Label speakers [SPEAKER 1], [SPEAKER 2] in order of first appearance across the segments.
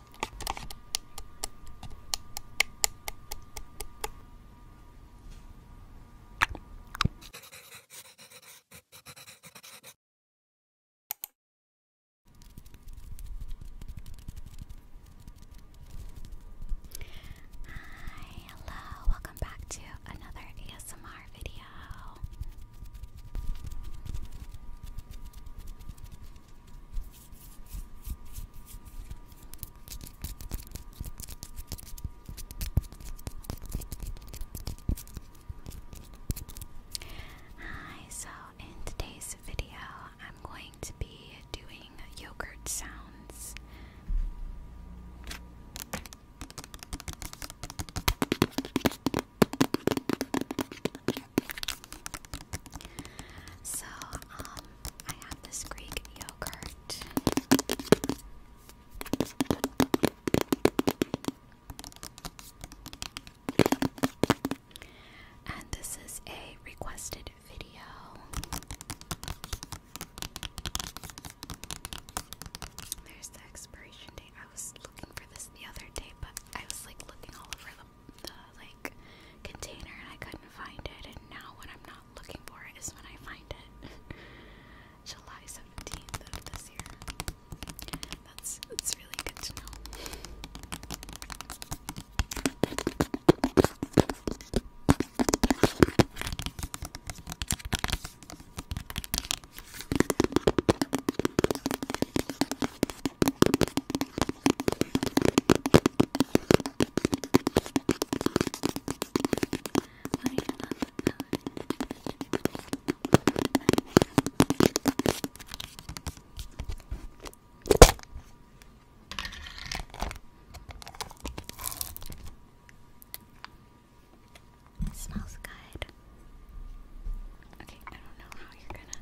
[SPEAKER 1] Hi, hello, welcome back to another ASMR video. Hi, so in today's video, I'm going to be doing yogurt sounds. So, um, I have this Greek yogurt. And this is a requested video. There's the expiration date. I was looking for this the other day, but I was like looking all over the the, like container and I couldn't find it and now when I'm not looking for it is when I find it. July 17th this year. That's that's really good to know. Smells good. Okay, I don't know how you're gonna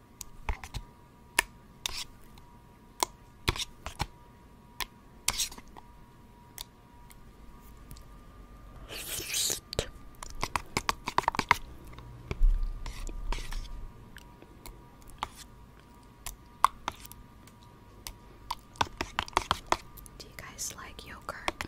[SPEAKER 1] Do you guys like yogurt?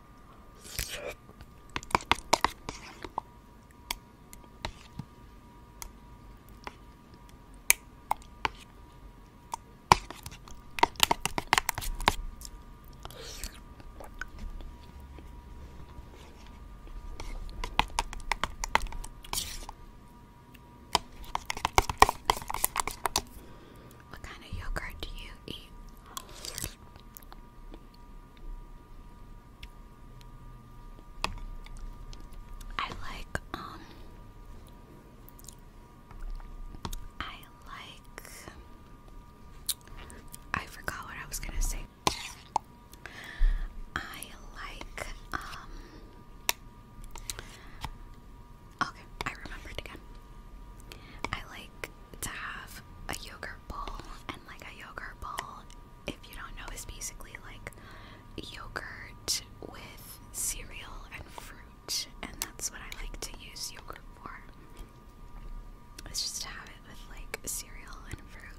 [SPEAKER 1] What kind of yogurt do you eat? I like um, I like I forgot what I was gonna say. I like um, Okay, I remembered again. I like to have a yoga bowl, and like a yogurt bowl, if you don't know, is basically like yogurt with cereal and fruit, and that's what I like to use yogurt for. It's just to have it with like cereal and fruit.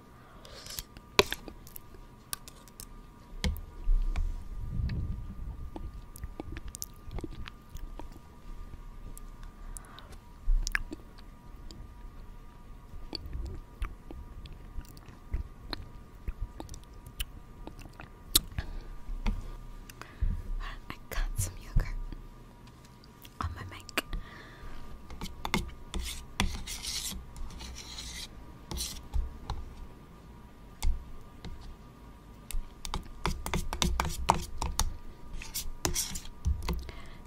[SPEAKER 1] I got some yogurt on my mic.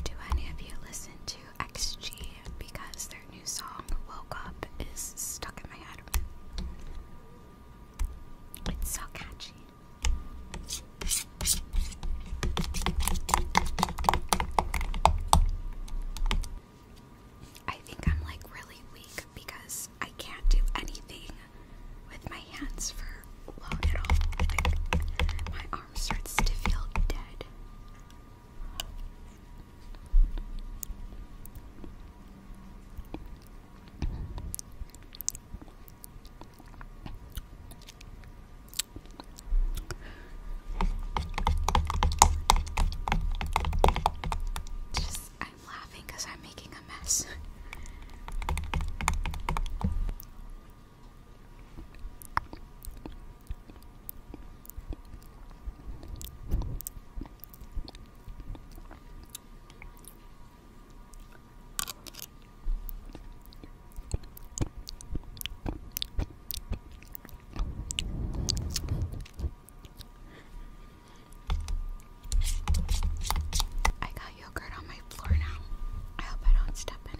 [SPEAKER 1] Do any of you listen to XG? Because their new song, Woke Up, is stuck in my head. It's so catchy. I think I'm like really weak because I can't do anything with my hands for long at all. my arm starts to feel dead. Just, I'm laughing I'm making a mess. I got yogurt on my floor now. I hope I don't step in it.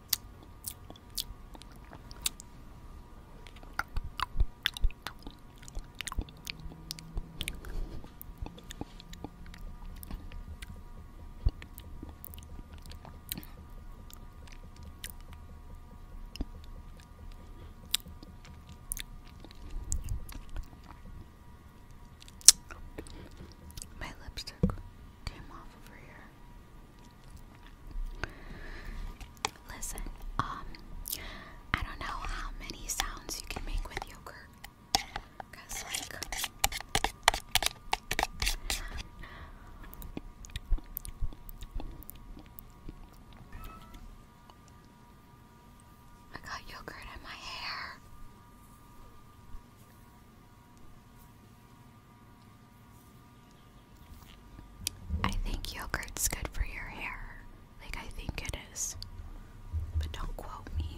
[SPEAKER 1] My lipstick Listen, um, I don't know how many sounds you can make with yogurt. Cause like I got yogurt in my hair. I think yogurt's good for your hair. Like, I think it is. But don't quote me.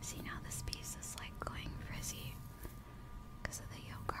[SPEAKER 1] See now this piece is like going frizzy because of the yoga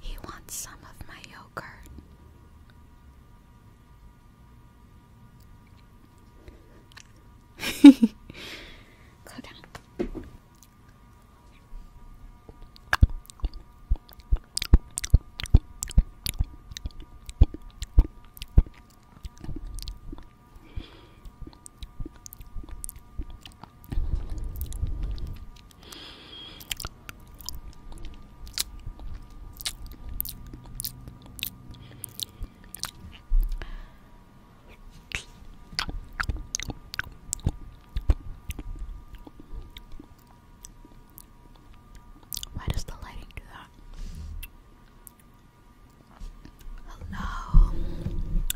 [SPEAKER 1] He wants some of my yogurt. Go down. Why does the lighting do that? Hello.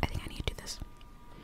[SPEAKER 1] I think I need to do this.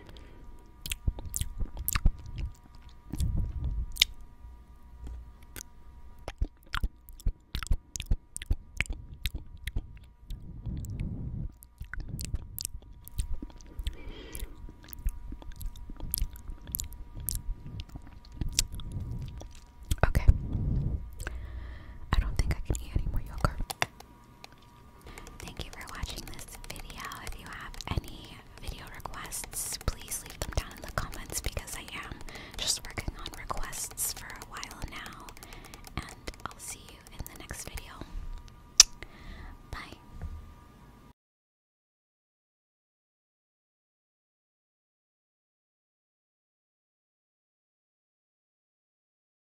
[SPEAKER 1] Okay. I don't think I can eat any more yogurt. Thank you for watching this video. If you have any video requests, please leave them down in the comments because I am just working on requests for a while now. And I'll see you in the next video. Bye.